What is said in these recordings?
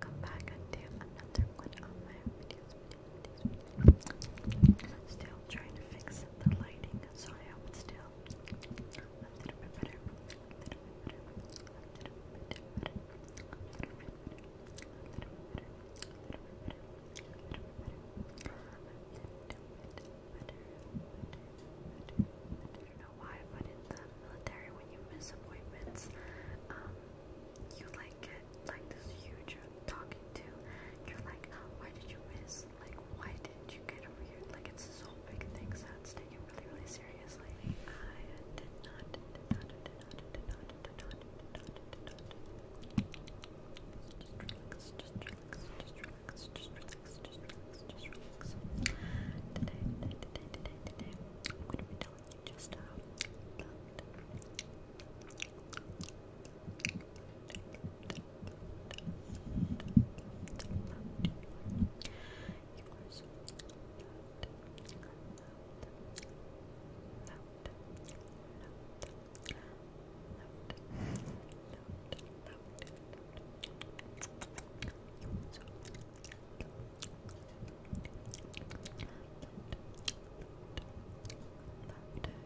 Come back and do another one Still trying to fix the lighting, so I hope it's still a little bit better. I don't know why, but in the military, when you miss appointments, you like get like this huge talking to. You're like, why did you miss? Like, why didn't you get over here? Like, it's so big Things that's taken really, really seriously. I did not, did not, did not, did not, did not, did not, did not. Just relax, just relax, just relax, just relax, just relax, just relax. Today, today, today, today, today, I'm going to be telling you just how uh,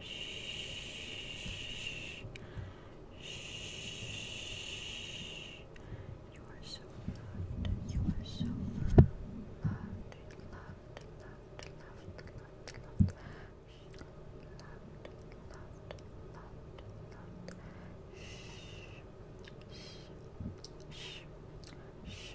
Shh. Shh. You are so loved. You are so loved. Loved, loved, loved, loved, loved, loved. Shh. Loved, loved, loved, loved. Shh. Shh. Shh. Shh.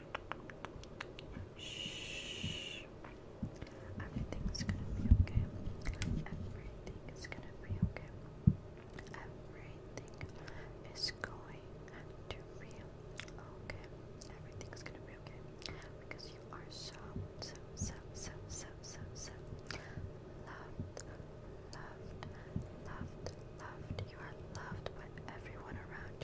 Everything's gonna be okay. Everything is gonna be okay. Everything is going to be okay. Everything's gonna be okay. Because you are so, so, so, so, so, so, loved, loved, loved, loved. You are loved by everyone around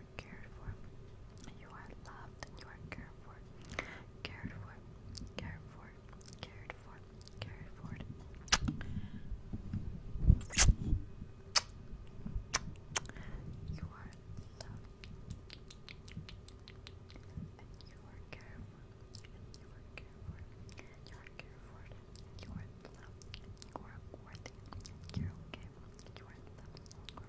are cared for. You are loved you are cared for. Cared for. Cared for. Cared for. Cared for. You are loved. And you are cared for. you are cared for. you are cared for. you are loved. You are worthy. You're okay. You are loved. You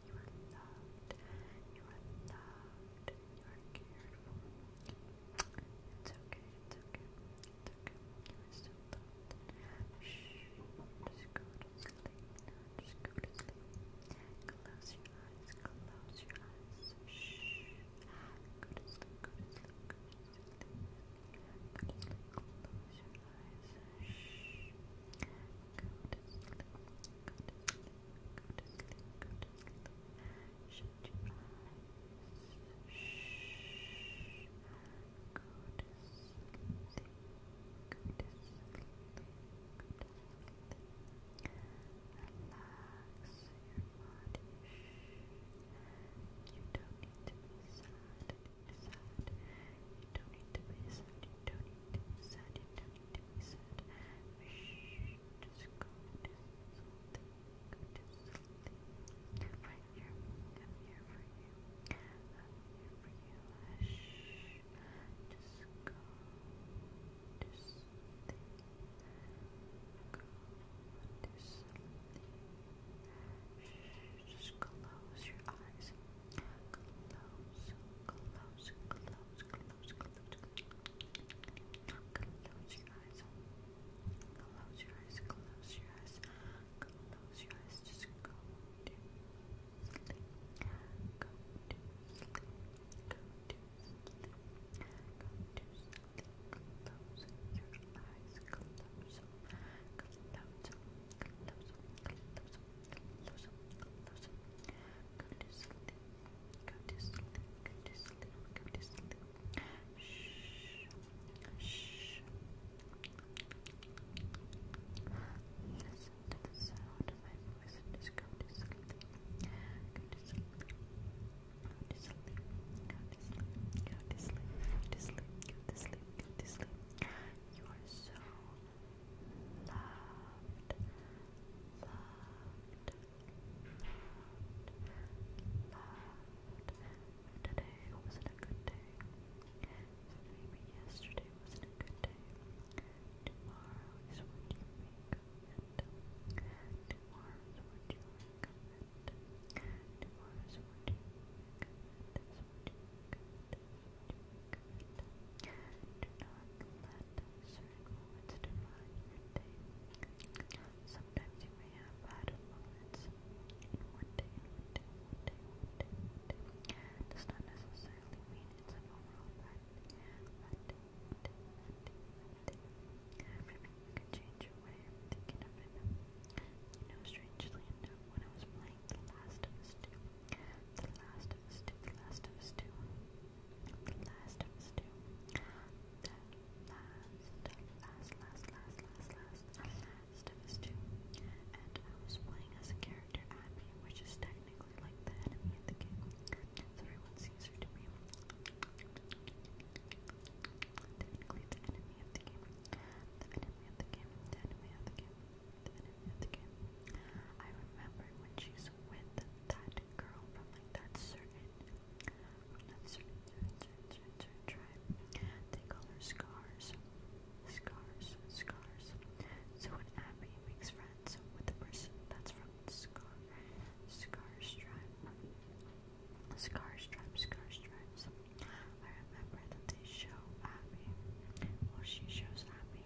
You are loved. You are loved. You are cared for. It's okay. It's okay. It's okay. You are so Shh. Just go to sleep Just go to sleep. Close your eyes. Close your eyes. Shh. Go to sleep. Go to sleep. Go Go to sleep. Close your eyes. Shh to sleep, go to sleep, go to sleep, go to sleep. Shut your eyes. Shh. Go to sleep, go to sleep, go to sleep. Relax your body. Shh. You don't need to be sad. Sad. You don't need to be sad. You don't need to be sad. You don't just go to sleep. Go to sleep. Right here. I'm here for you. I'm here for you. Shh, just go to sleep. Go to just Close your eyes. Close, close, close, close, close. Close your eyes. Close your eyes, close your eyes. Close your eyes, just go to sleep. Go to sleep. Go to sleep. Go to sleep. Close your eyes, close. Close, close, close, to sleep, go to sleep, go to sleep. You are so loved, loved, loved, loved. Today wasn't a good day. maybe yesterday wasn't a good day. Tomorrow is what you make it. Tomorrow is what you make it. Tomorrow is what you make of it. Is what you make of do Sometimes you may have bad moments, and not necessarily mean it's an overall bad you can change your way of thinking of it. You strangely when I was playing The Last of Us the Last of Us 2, The Last of Us 2, The Last of Us 2, The Last, Last, Last, Last, Last, Last, of Us 2, and I was playing as a character Abby, which is technically like the enemy in the game, everyone sees her to be technically the enemy of the game, the enemy of the game, the enemy of the game, the enemy of the game. I remember when she's was with that girl from like that certain from that certain certain certain, certain tribe. They call her Scars. Scars. Scars. So when Abby makes friends with the person that's from Scar Scar's tribe. Scar's tribe, Scar's tribes. I remember that they show Abby. Well she shows Abby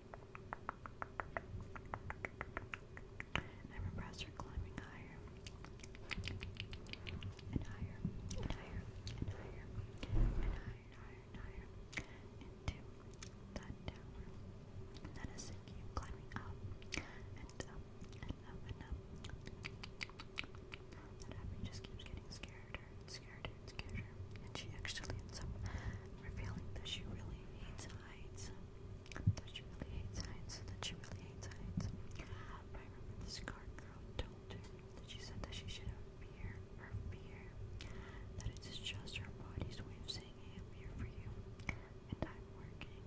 I'm impressed are climbing higher and higher and higher and higher and higher and higher and higher into that tower. That is it, you climbing up and up and up and up. That abbey just keeps getting scared, scared, kids get her, and she actually ends up revealing that she really hates heights. That she really hates heights. That she really hates heights. But I remember this card girl told her that she said that she should have fear, her fear. That it is just her body's way of saying, hey, I'm here for you, and I'm working.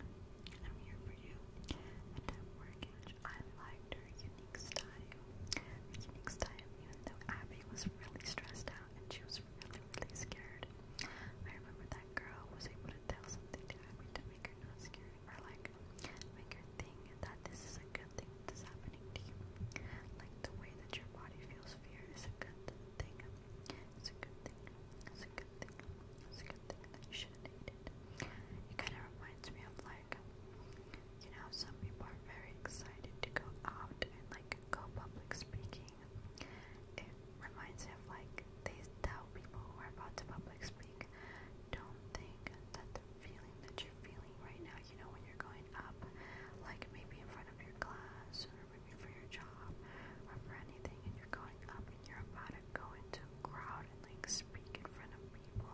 I'm here for you, and I'm working. I liked her unique style. Her unique style, even though Abby was really stressed out and she was really, really scared. I remember that girl was able to tell something to Abby to make her not scared, or like make her think that this is a good thing that's happening to you. Like the way that your body feels fear is a good thing. It's a good thing. It's a good thing. It's a good thing that you shouldn't hate it. It kind of reminds me of like, you know, some people are very excited to go out and like go public speaking it reminds me of like they tell people who are about to public speak, don't think that the feeling that you're feeling right now, you know, when you're going up, like maybe in front of your class or maybe for your job or for anything, and you're going up and you're about to go into a crowd and like speak in front of people.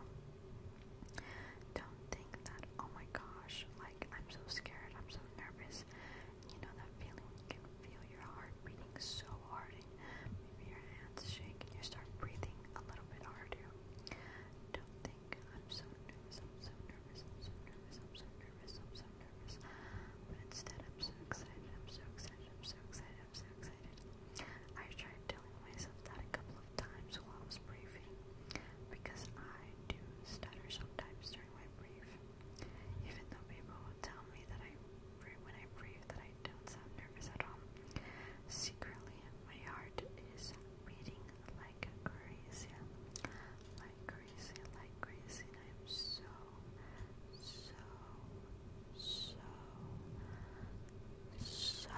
Don't think that, oh my gosh, like I'm so scared, I'm so nervous, is. You know that feeling when you can feel your heart beating so hard and maybe your hands shake and you start breathing a little bit harder. Don't think I'm so nervous, I'm so nervous, I'm so nervous, I'm so nervous, I'm so nervous. But instead I'm so excited, I'm so excited, I'm so excited, I'm so excited. I tried telling myself that a couple of times while I was briefing because I do stutter sometimes during I breathe. Even though people tell me that I, when I breathe, that I don't sound nervous at all. Secretly, my heart is beating like crazy, like crazy, like crazy, I'm so, so, so, so, so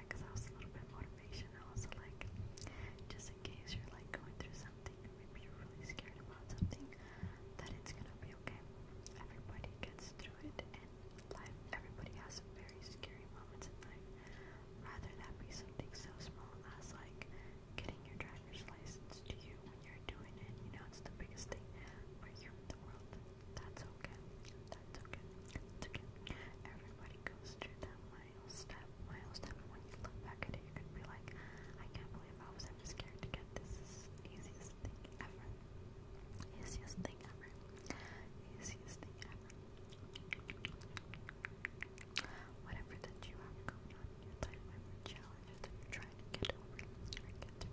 because I also a little bit motivational. like, just in case you're like going through something, maybe you're really scared about something, that it's gonna be okay. Everybody gets through it, and life, everybody has some very scary moments in life. Rather that be something so small as like getting your driver's license to you when you're doing it, you know, it's the biggest thing for you in the world. That's okay. That's okay. It's okay. Everybody body goes through that mile step, and when you look back at it, you're be like, I can't believe I was ever scared to get this. easiest thing ever. Easiest thing ever. Easiest thing ever. Whatever that you have going on in your life, whatever challenges you're trying to get over you can do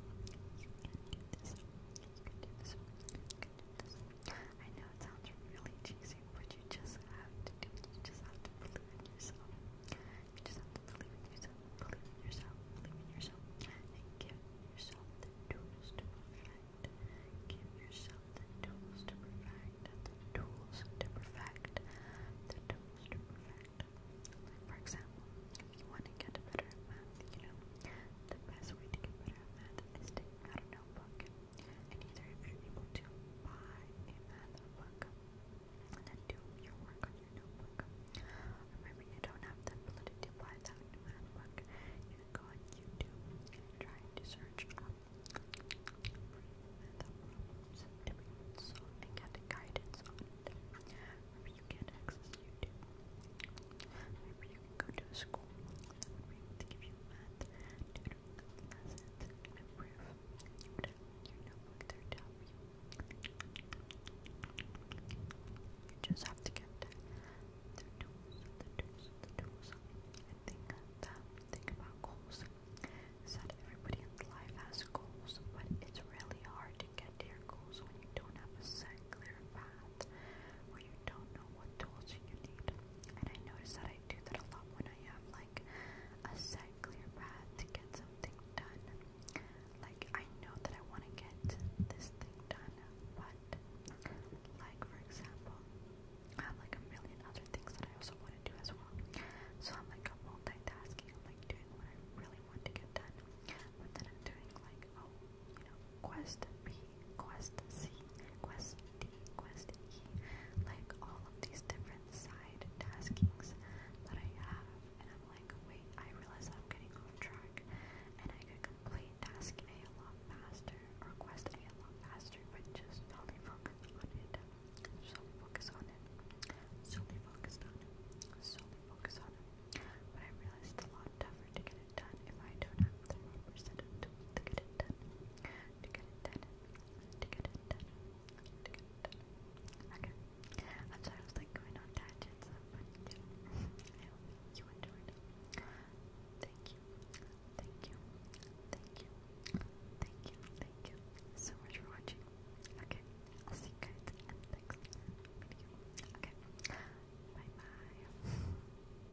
this. You can do this. I know it sounds really cheesy, but you just have to You just have to believe in yourself. You just have to believe in yourself. Believe in yourself. Believe in yourself. And give yourself the tools to perfect. Give yourself the tools to perfect. The tools to perfect. The tools to perfect. for example, if you want to get better at math, you know, the best way to get better at math is to out a notebook and and either if you're to buy a math and then do your work on your notebook, or you don't have the ability to buy that math you can go on YouTube try to search up math problems to be get guidance on you can't access YouTube. Maybe you go to a school I you just have to get the tools, the tools, the tools. I think that think about goals is everybody in life has goals, but it's really hard to get your goals when you don't have a set clear path, or you don't know what tools you need. And I notice that I do that a lot when I have like a set clear path to get something done. Like I know that I want to get this thing done, but like for example, I have like a million other things that I also want to do as well. So I'm like multitasking, I'm like doing what I really want to get done, but then I'm doing like oh, quest B Quest C, Quest D, Quest E, like all of these different side taskings that I have, and I'm like, wait, I realize I'm getting off track, and I could complete task A a lot faster, or Quest A a lot faster, but just only focus on it, solely focus on it, solely focused on it, solely focus on it, but I realized it's a lot tougher to get Okay. I'm sorry I was like going on tangents, but you enjoyed. Thank you. Thank you. Thank you. Thank you. Thank you so much for watching. Okay. I'll see you guys in Okay. Bye bye.